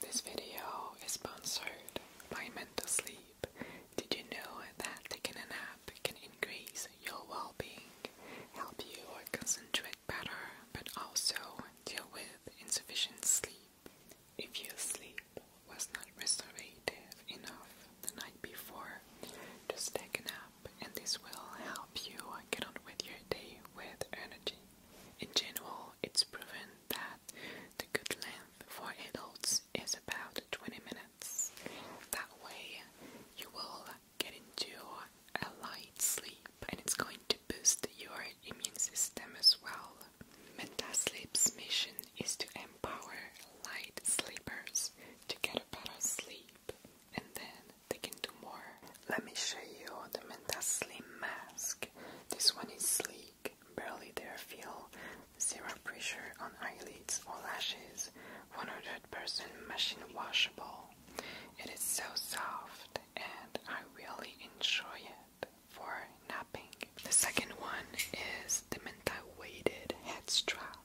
This video is sponsored by Mental Sleep. Did you know that taking a nap can increase your well being, help you concentrate better, but also deal with insufficient sleep? If your sleep was not restorative enough the night before, just take a nap and this will help you get on with your day with energy. In general, it's proven that the good length for adults is about 20 minutes. That way, you will get into a light sleep and it's going to boost your immune system as well. MetaSleep's mission is to empower light sleepers to get a better sleep and then they can do more. Let me show you the MentaSleep mask. This one is sleek, barely there feel, zero pressure on eyelids or lashes, 100% machine washable. It is so soft and I really enjoy it for napping. The second one is the Menta Weighted Head Strap.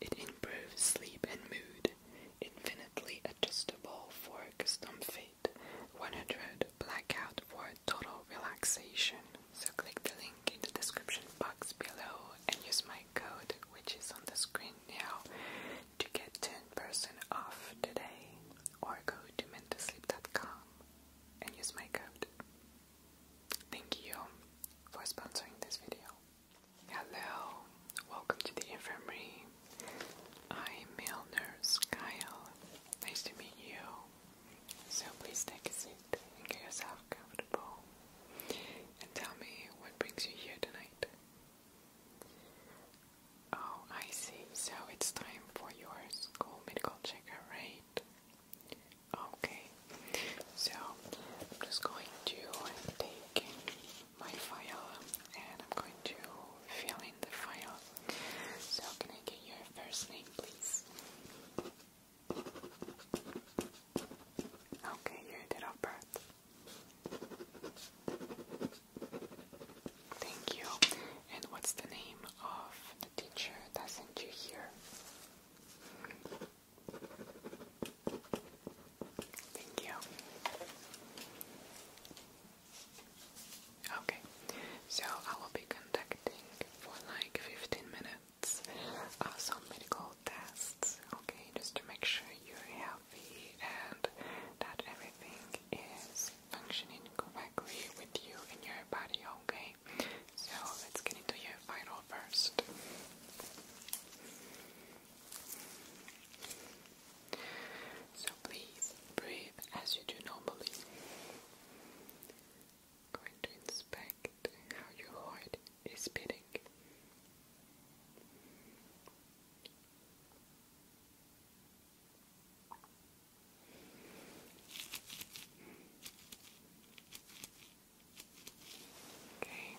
It improves sleep and mood, infinitely adjustable for custom fit. 100 blackout for total relaxation. So click the link in the description box below and use my code, which is on the screen now, to get 10% off today. Or go to mentosleep.com and use my code. Thank you for sponsoring this video. Hello, welcome to the infirmary. I'm male nurse Kyle, Nice to meet you. So please take a seat and get yourself comfortable. And tell me what brings you here tonight. Oh, I see. So it's time for your school medical checkup, right? Okay. So I'm just going to take my file and I'm going to fill the file. So, can I get your first name, please? Okay, your date of birth. Thank you. And what's the name of the teacher that sent you here? Thank you. Okay, so I will be conducting for like 15 minutes uh, some medical tests, okay, just to make sure you're healthy and that everything is functioning correctly with you in your body, okay? So let's get into your final first. So please breathe as you do normally. Going to inspect how your heart is Okay,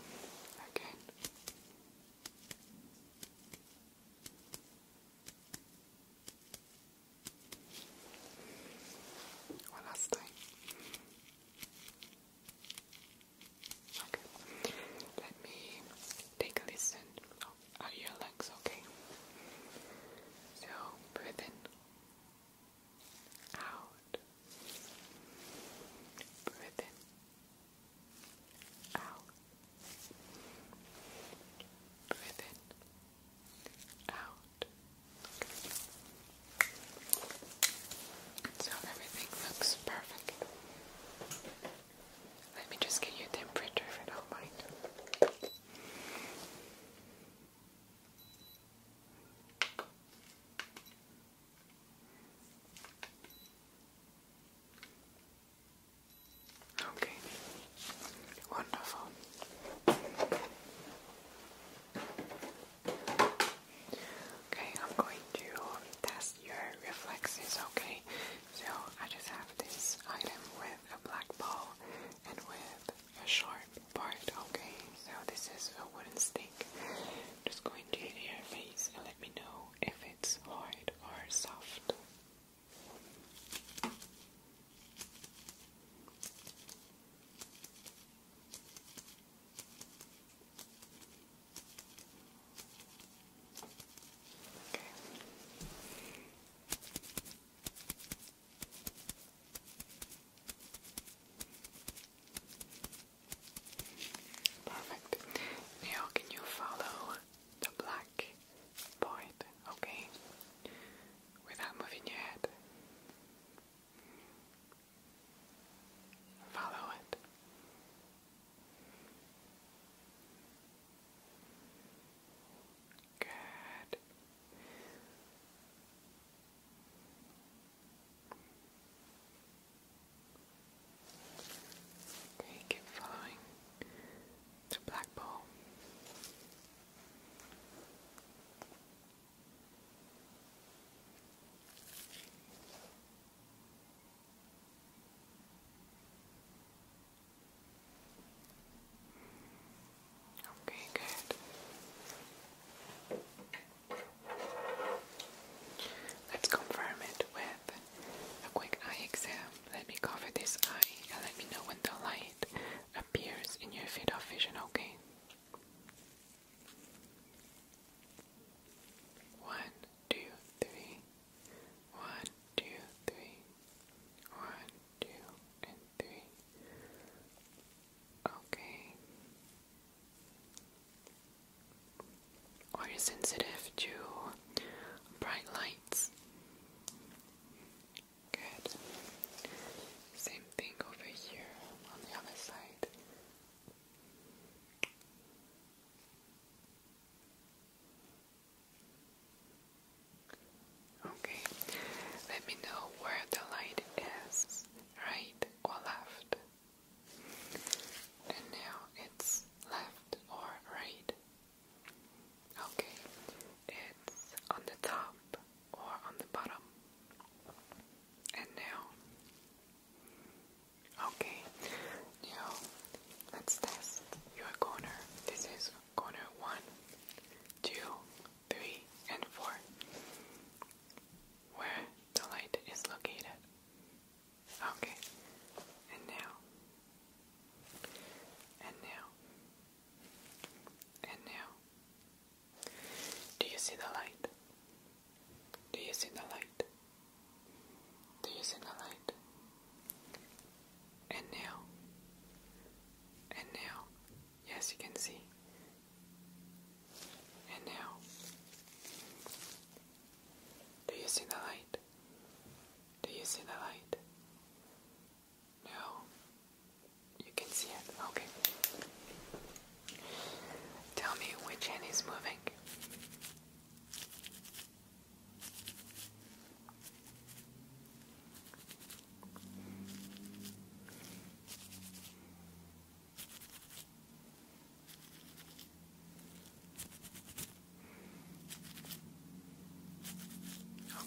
Okay. One last thing. Okay. Let me take a listen. Are your lungs okay? So breathe in. Out. Breathe in. Out. Breathe in, out. So everything looks perfect. Let me just get your temperature if you don't mind. Okay, wonderful. Okay, I'm going to test your reflexes, okay? So I just have this item with a black ball and with a sharp part, okay? So this is a wooden stick. just going to your face and let me know if it's hard or soft. Perfect. Now can you follow the black point? Okay without moving your head. Follow it. Good. Okay, keep following black ball. Okay, good. Let's confirm it with a quick eye exam. Let me cover this eye let me know when the light appears in your field of vision, okay? One, two, three. One, two, three. One, two, and three. Okay. Are you sensitive to bright lights? Good. Same thing over here on the other side. Okay, let me know where the light is, right or left. And now it's left or right. Okay, it's on the top or on the bottom. And now, okay, now let's test your corner. This is corner one, two, three, and four, where the light is located. Okay, and now, and now. And now, do you see the light? Do you see the light? Do you see the light? And now, and now, yes, you can see. And now, do you see the light? Do you see the light? No. You can see it. Okay. Tell me which hand is moving.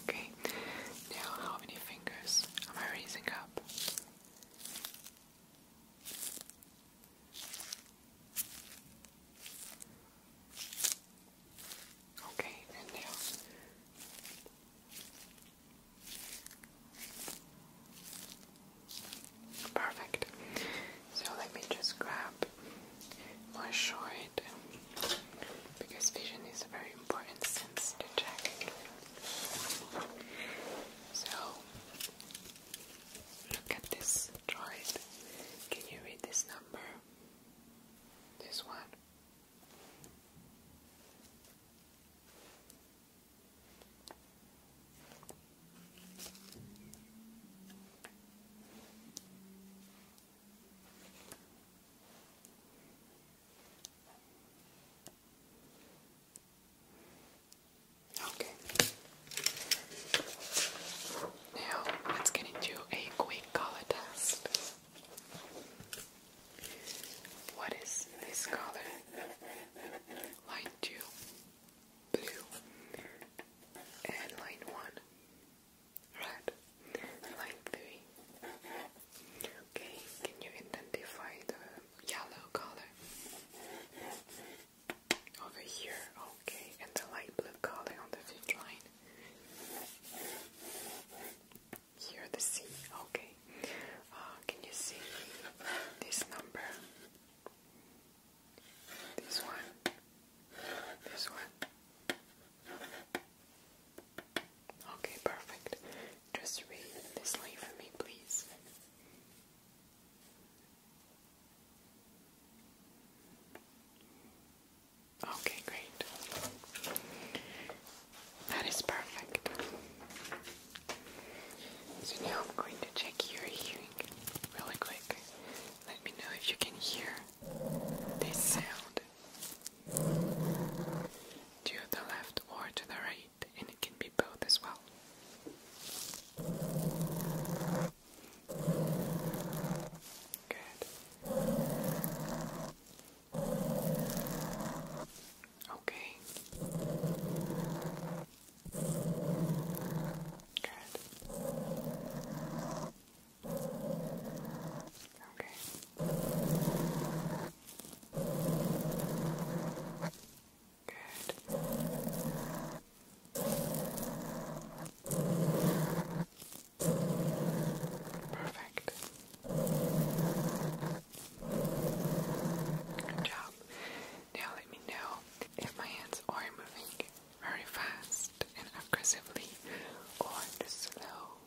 Okay, now how many fingers am I raising up? Okay, and now. Perfect. So let me just grab my shirt because vision is a very important sense to check. So, look at this droid. Can you read this number? This one. Okay. Now let's get into a quick color test. What is this color? Line two, blue, and line one, Right, line three. Okay, can you identify the yellow color over here? Okay, and the light blue color on the fifth line. Here the C. Okay, uh, can you see this number? This one. This one. Okay, perfect. Just read this line for me, please. Okay, great. That is perfect. So now I'm going to check your hearing really quick. Let me know if you can hear this sound to the left or to the right, and it can be both as well. Good. Okay. Good. Okay. Good. Perfect. Good job. Now let me know if my hands are moving very fast and aggressively or slow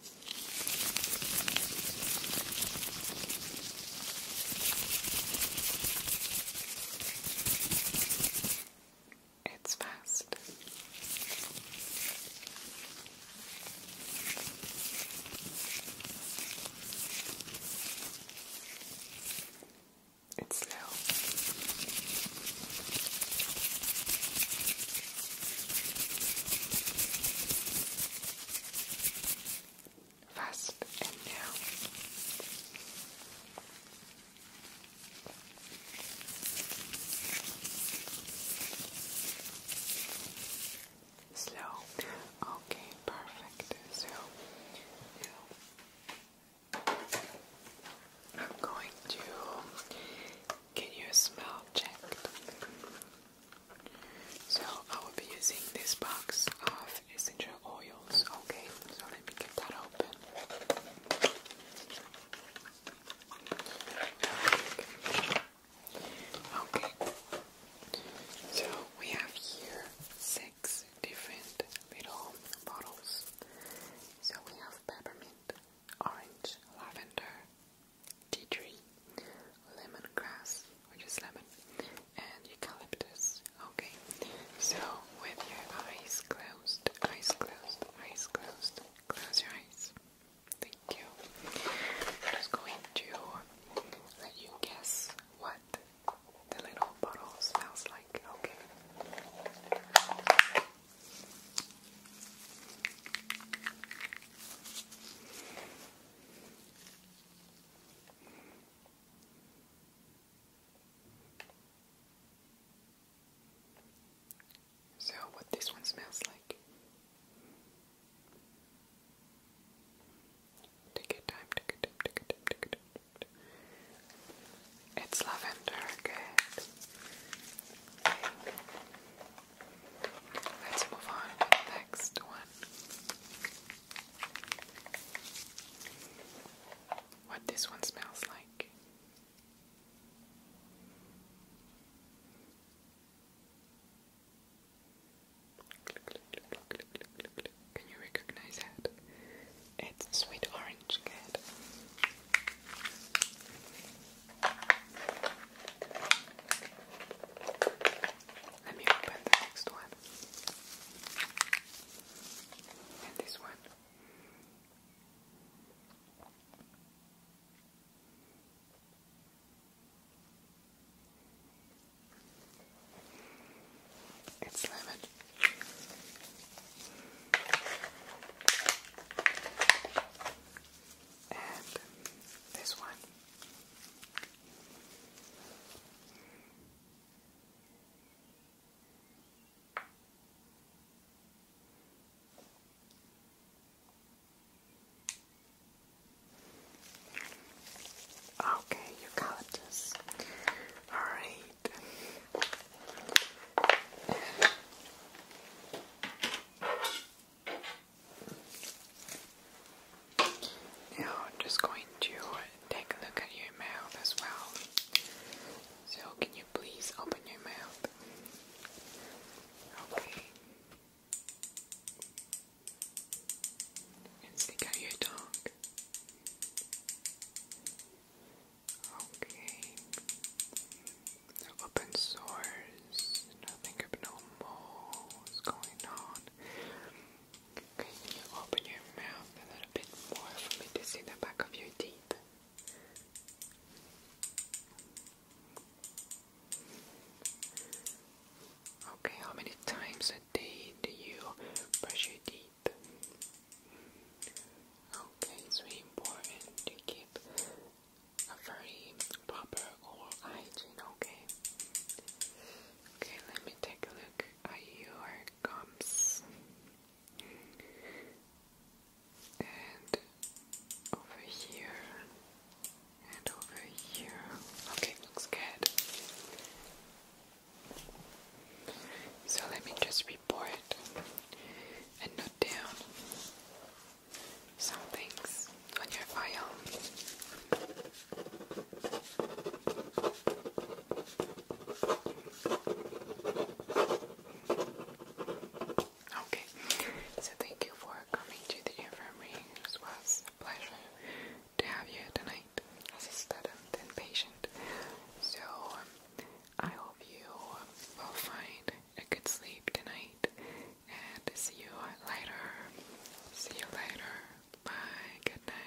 it's fast. It's slow. Fast and now. Slow. Okay, perfect. So I'm going to. Can you smell check? So I will be using this box of essential oils. Okay, so let me get that open. Okay, so we have here six different little bottles. So we have peppermint, orange, lavender, tea tree, grass, which is lemon, and eucalyptus. Okay, so with your eyes closed, eyes closed, eyes closed, close your eyes. Thank you. I'm going to let you guess what the little bottle smells like. Okay. So, what this one smells like? Take your time, It's lavender, Let's move on next one. What this one smells like. Can you recognize that? It's sweet orange cat. Let me open the next one. And this one. It's lemon. And this one. Okay, you got this. All right. Now I'm just going to take a look at your mouth as well. So can you please open your mouth? Okay. And stick out your tongue. Okay. Open sore is nothing abnormal. What's going on? Can you open your mouth a little bit more for me to see the back of your teeth? Okay, how many times a day do you brush your teeth? Okay, it's really important to keep a very proper oral hygiene, okay? Okay, let me take a look at your gums. And over here, and over here. Okay, looks good. So let me just report and note down some things on your file. Okay, so thank you for coming to the infirmary. It was a pleasure to have you tonight as a student and patient. So, um, I hope you will find a good sleep tonight and see you later. See you later. Bye. Good night.